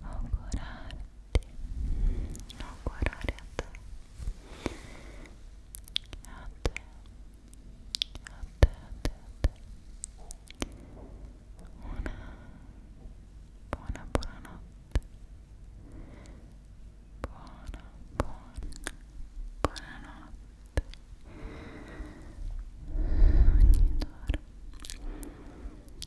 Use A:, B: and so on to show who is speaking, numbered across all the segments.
A: augurarti, augurare a te, a te, a te, a te, a te, una buona buonanotte, buona, buona, buonanotte, ogni d'ora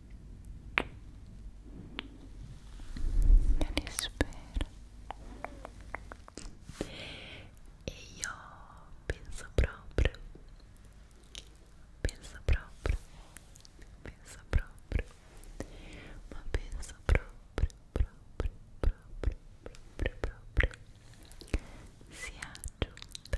A: io li spero e io penso proprio penso proprio penso proprio ma penso proprio proprio proprio proprio proprio sia giunta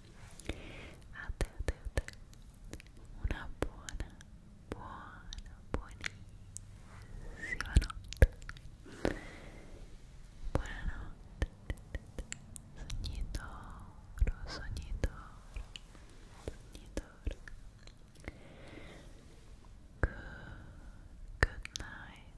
A: a te, a te, a buona, buona, buonissima notte buonanotte sognitoro, sognitoro sognitoro good night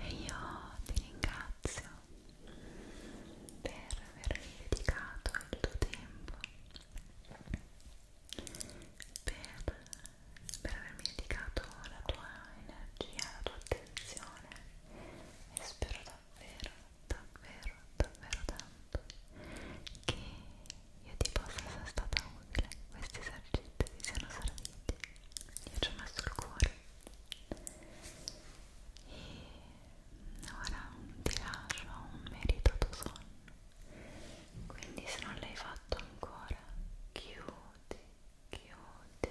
A: e io ti ringrazio per avermi dedicato il tuo tempo per, per avermi dedicato la tua energia, la tua attenzione e spero davvero, davvero, davvero tanto che io ti possa essere stata utile, questi esercizi ti siano serviti io ci ho messo il cuore e ora ti lascio un meritato sonno quindi se non l'hai fatto ancora chiudi chiudi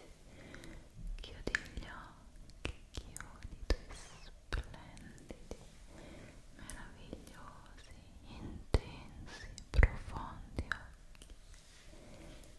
A: chiudi gli occhi chiudi i tuoi splendidi meravigliosi intensi profondi occhi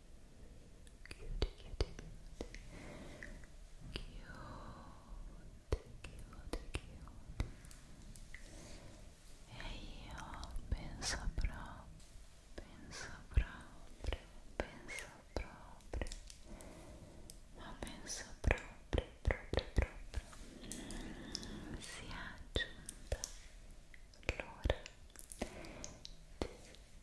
A: chiudi, chiudi, chiudi, chiudi, chiudi e io penso proprio, penso proprio, penso proprio ma penso proprio, proprio, proprio si è aggiunta l'ora di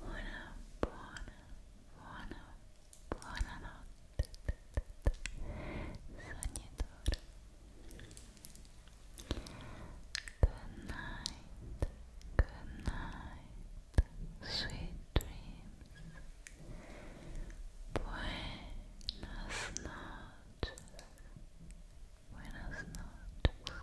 A: Una buona, buona, buona notte. Sognatore. Good night. Good night. Sweet dreams. Buenas noches. Buenas noches.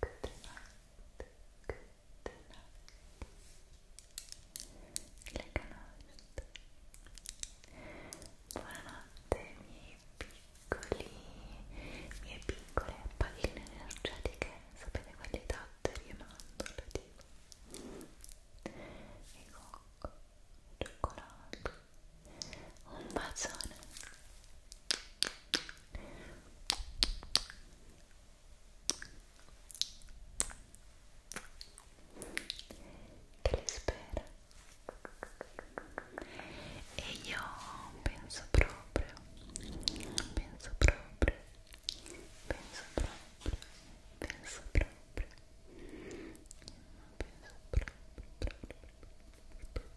A: Good night. Good night. mie piccole palline energetiche. Sapete quelle tattere e mandorle tipo. E cioccolato. Un bacione. che le spera e io penso proprio penso proprio penso proprio penso proprio penso proprio proprio proprio proprio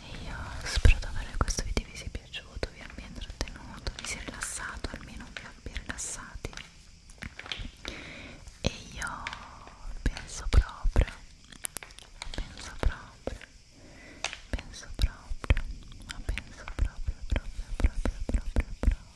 A: E io spero davvero che questo video vi sia piaciuto, vi abbia intrattenuto, vi sia rilassato, almeno vi abbia rilassati. E io penso proprio, penso proprio, penso proprio, ma penso proprio, proprio, proprio, proprio, proprio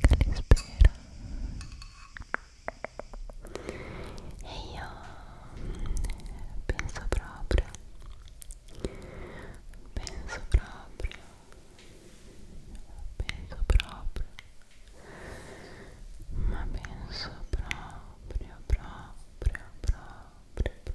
A: Calispera e io penso proprio penso proprio penso proprio ma penso proprio proprio proprio proprio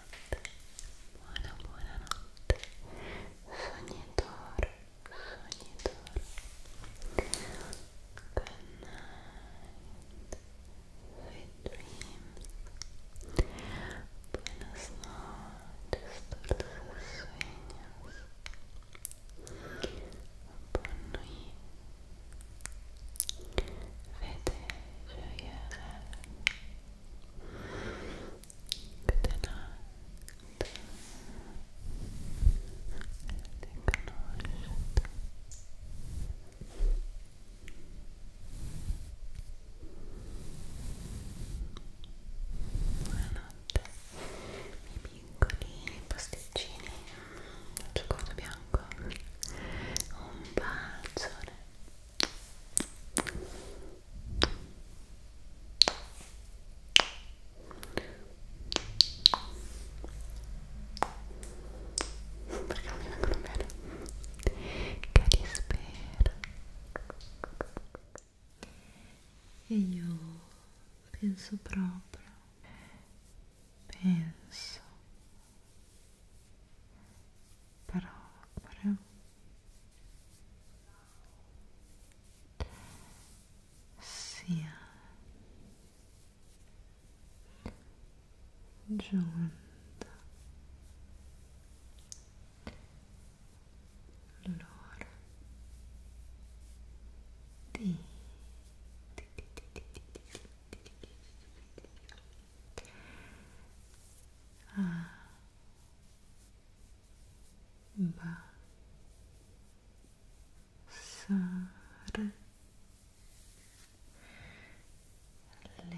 A: buonanotte buona buonanotte sognatore sognatore good night sweet dreams buenas noches dulces sueños buon Vede gioiere Good night Good night Buonanotte i piccoli pasticcini al cioccolato bianco un bacione perché non mi vengono bene che ti spero e io penso proprio penso proprio sia giunta l'ora di 아, 마사를 le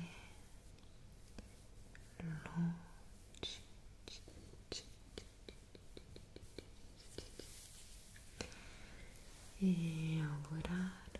A: luci e augurare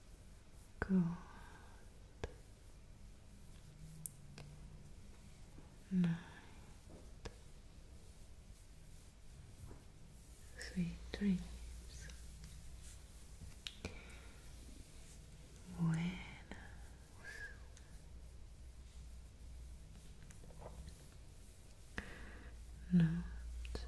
A: Good. Night. Sweet dreams. Buenos. Noches.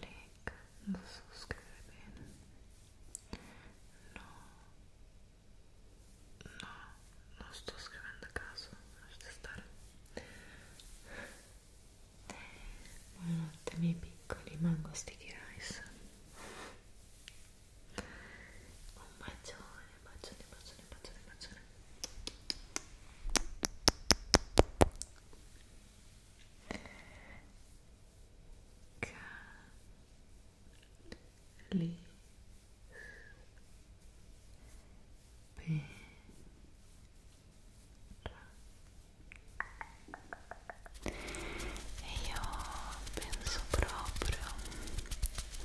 A: Lake, non so scrivere bene. No, no, non sto scrivendo a caso, lasciate stare. Buonanotte miei piccoli mango sticky rice. Un bacione, bacione, bacione, bacione, bacione. Cali Pera e io penso proprio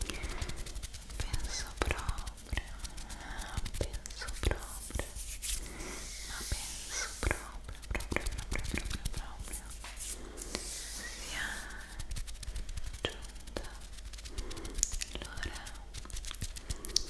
A: penso proprio penso proprio ma penso proprio, proprio, proprio, proprio, proprio sia giunta l'ora passare le luci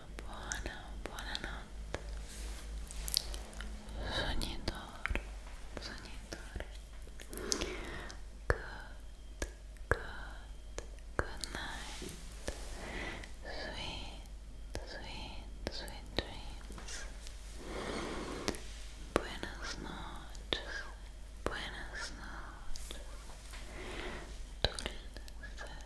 A: buona, buonanotte sognitore, sognitore good, good, good night sweet, sweet, sweet dreams buenas noches, buenas noches dulces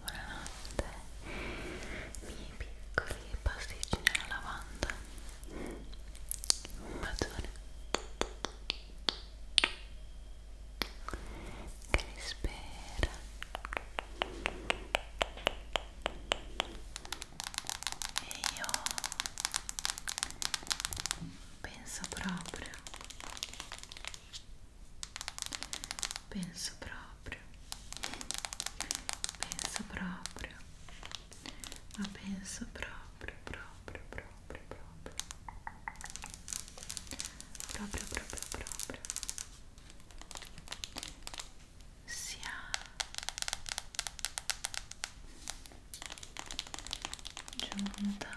A: Buonanotte, miei piccoli pasticcini alla lavanda. Un bacione che vi spera. E io penso proprio penso proprio penso proprio ma penso proprio proprio proprio proprio proprio proprio proprio sia giunta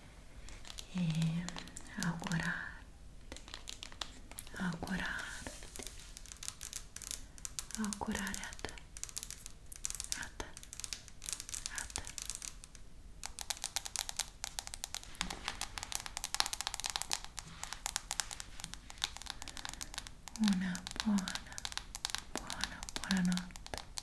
A: e augurarti, augurarti, augurare a te, a te, a te. Una buona, buona, buona notte.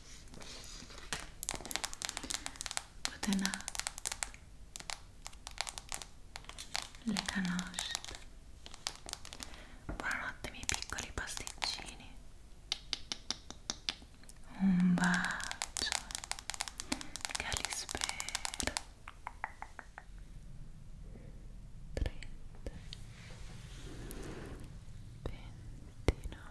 A: Potena le canosce buonanotte miei piccoli pasticcini un bacio che li spero 30 29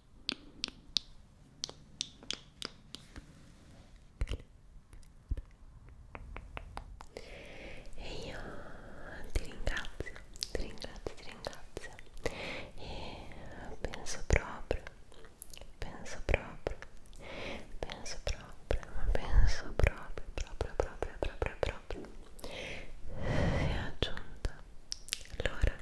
A: e io ti ringrazio, ti ringrazio, ti ringrazio e penso proprio, penso proprio, penso proprio, penso proprio, proprio, proprio, proprio, proprio, si è aggiunta l'ora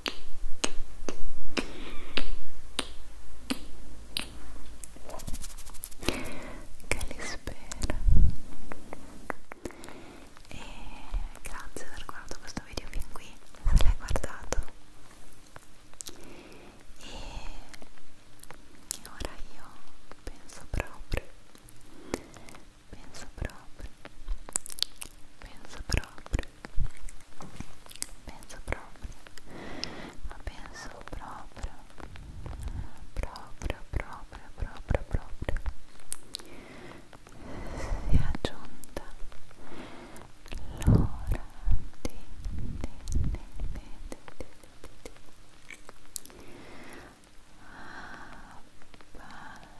A: che li spera e grazie per aver guardato questo video fin qui se l'hai guardato e ora io penso proprio penso proprio penso proprio penso proprio ma penso proprio proprio proprio proprio proprio si è aggiunta l'ora di Abbassare ah,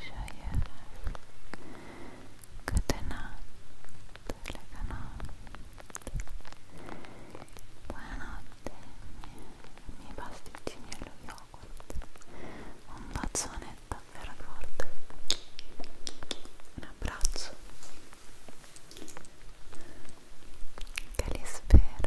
A: Cheyenne Good night Lega notte Buonanotte I miei pasticcini allo yogurt Un bacione davvero forte Un abbraccio che li spero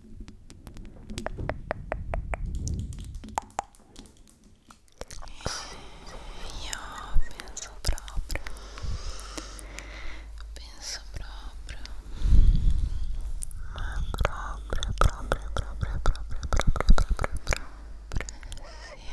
A: E penso próprio, penso próprio, uma própria, própria, própria, própria, própria, própria, própria, se